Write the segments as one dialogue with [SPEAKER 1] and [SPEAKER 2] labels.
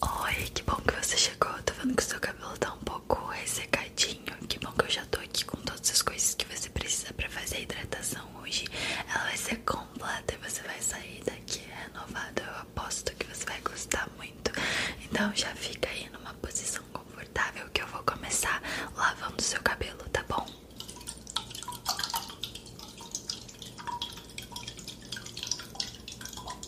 [SPEAKER 1] Oi, que bom que você chegou. Tô vendo que o seu cabelo tá um pouco ressecadinho. Que bom que eu já tô aqui com todas as coisas que você precisa pra fazer a hidratação hoje. Ela vai ser completa e você vai sair daqui renovado. Eu aposto que você vai gostar muito. Então já fica aí numa posição confortável que eu vou começar lavando o seu cabelo, tá bom?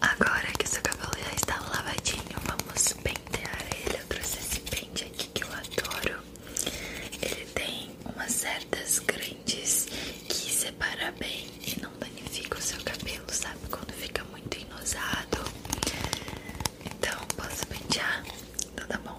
[SPEAKER 1] Agora que seu cabelo já está lavadinho, vamos pentear ele. Eu trouxe esse pente aqui que eu adoro. Ele tem umas certas grandes que separa bem e não danifica o seu cabelo, sabe? Quando fica muito inosado, então posso pentear? Então tá bom.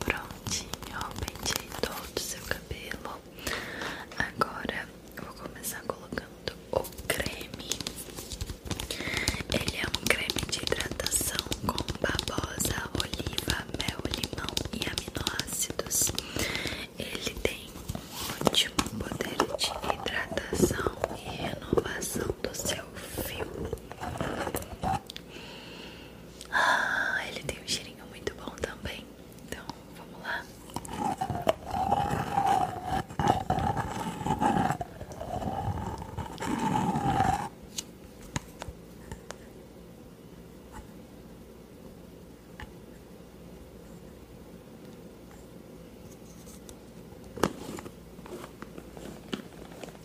[SPEAKER 1] Prontinho, pentei todo o seu cabelo. Agora eu vou começar colocando o creme. Ele é um creme de hidratação com babosa, oliva, mel, limão e aminoácidos. Ele tem um ótimo poder de hidratação e renovação do seu fio. Ah, ele tem um cheirinho muito bom também. Então, vamos lá.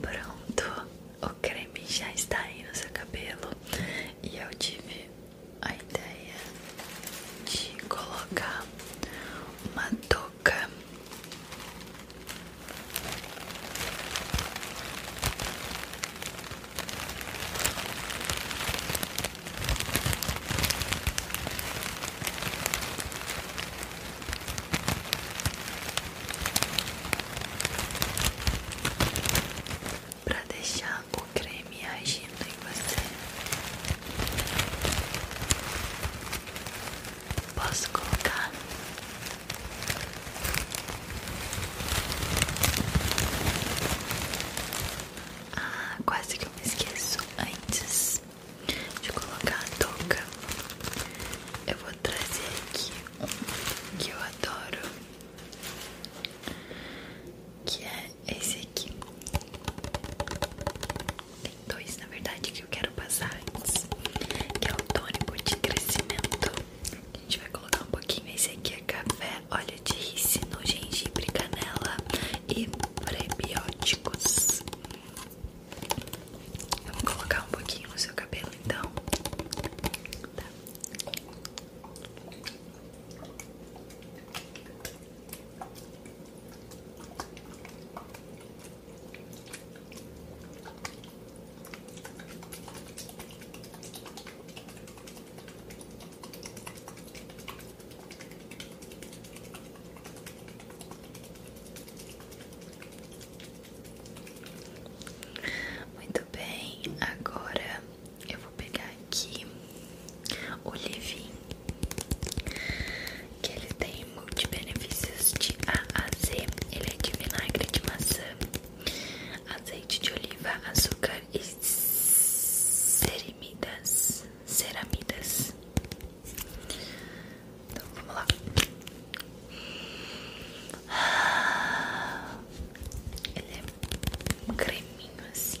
[SPEAKER 1] Pronto, o creme já está aí no seu cabelo e eu tive a ideia de colocar uma touca para deixar o creme agindo em você, posso colocar ah, quase que eu me esqueço antes de colocar a touca. Eu vou trazer aqui um que eu adoro, que é esse aqui. Tem dois, na verdade, que eu quero passar antes, que é o tônico de crescimento. A gente vai colocar um pouquinho. Esse aqui é café, óleo de rícino, gengibre, canela e prebióticos. Vamos colocar um pouquinho no seu cabelo, então. Tá. Muito bem, agora eu vou pegar aqui o Livin, que ele tem tem multibenefícios de A a Z. Ele é de vinagre de maçã, azeite de oliva, açúcar e cerimidas, ceramidas. Então vamos lá. Ele é creminho assim.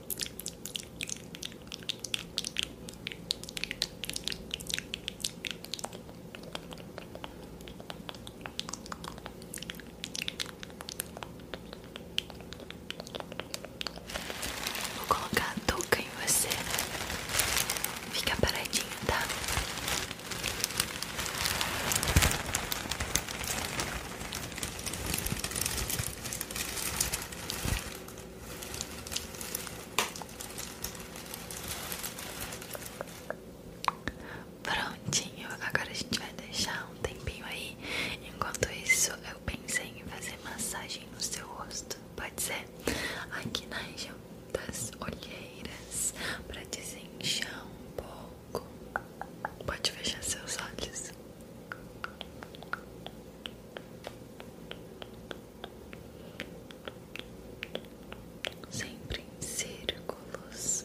[SPEAKER 1] Vou colocar a touca em você. Fica paradinho, tá? Prontinho, agora a gente vai deixar um tempinho aí. Enquanto isso, eu pensei em fazer massagem no seu rosto. Pode ser? Aqui nas região olheiras, pra desenchar um pouco. Pode fechar seus olhos sempre em círculos.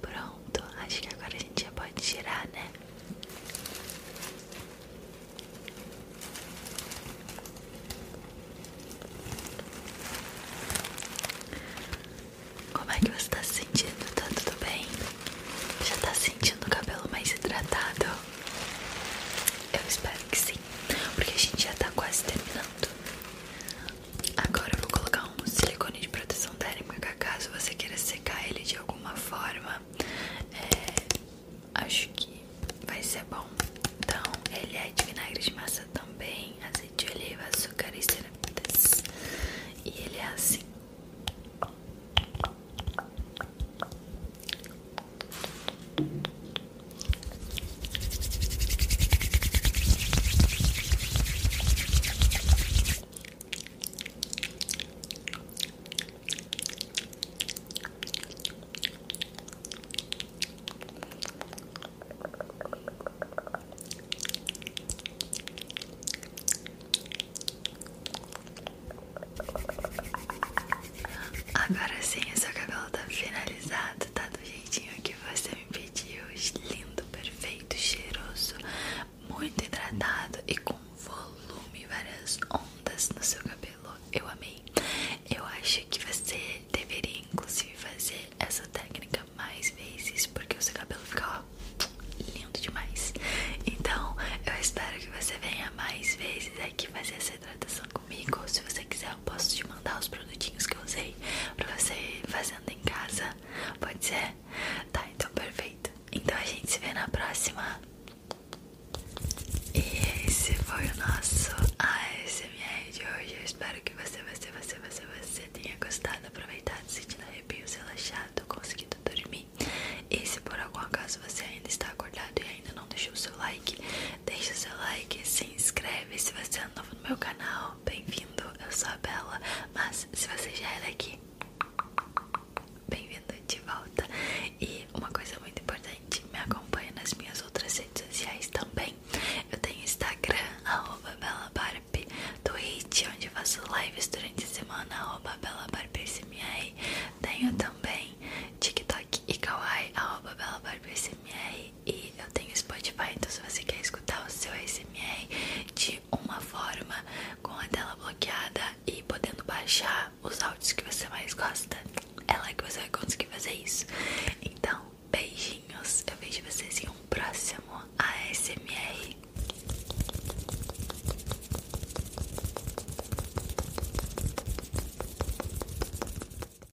[SPEAKER 1] Pronto, acho que agora a gente já pode tirar, né? Como é que você tá se sentindo? Tá tudo bem? Já tá sentindo o cabelo mais hidratado? Eu espero que sim, porque a gente já tá quase terminando. Agora eu vou colocar um silicone de proteção térmica caso você queira secar ele de alguma forma. É, acho que vai ser bom. Então, ele é de vinagre de massa também, azeite de oliva, açúcar e cerebitas. E ele é assim. Agora sim, seu cabelo está finalizado arrumado, tá do jeitinho que você me pediu. Lindo, perfeito, cheiroso, muito hidratado e com volume, várias ondas no seu cabelo. Eu amei. Eu acho que você deveria, inclusive, fazer essa técnica mais vezes, porque o seu cabelo fica lindo demais. Então, eu espero que você venha mais vezes aqui fazer essa hidratação comigo. Ou se você quiser posso te mandar os produtinhos que eu usei pra você ir fazendo em casa. Pode ser? Tá, então perfeito. Então a gente se vê na próxima. E esse foi o nosso ASMR de hoje. Eu espero que você, você, você, você, você tenha gostado, aproveitado, sentido arrepios, relaxado, conseguido dormir. E se por algum acaso você ainda está acordado e ainda não deixou o seu like, Deixa seu like, se inscreve se você é novo no meu canal. Bem-vindo, eu sou a Bela. Mas se você já era é aqui, bem-vindo de volta. E uma coisa muito importante, me acompanha nas minhas outras redes sociais também. Eu tenho Instagram, arroba BelaBarb, Twitch, onde faço lives durante a semana, arroba Tenho também TikTok e Kawaii, arroba e eu tenho Spotify, então se você quer escutar o seu ASMR de uma forma com a tela bloqueada e podendo baixar os áudios que você mais gosta, é lá que você vai conseguir fazer isso. Então, beijinhos, eu vejo vocês em um próximo ASMR.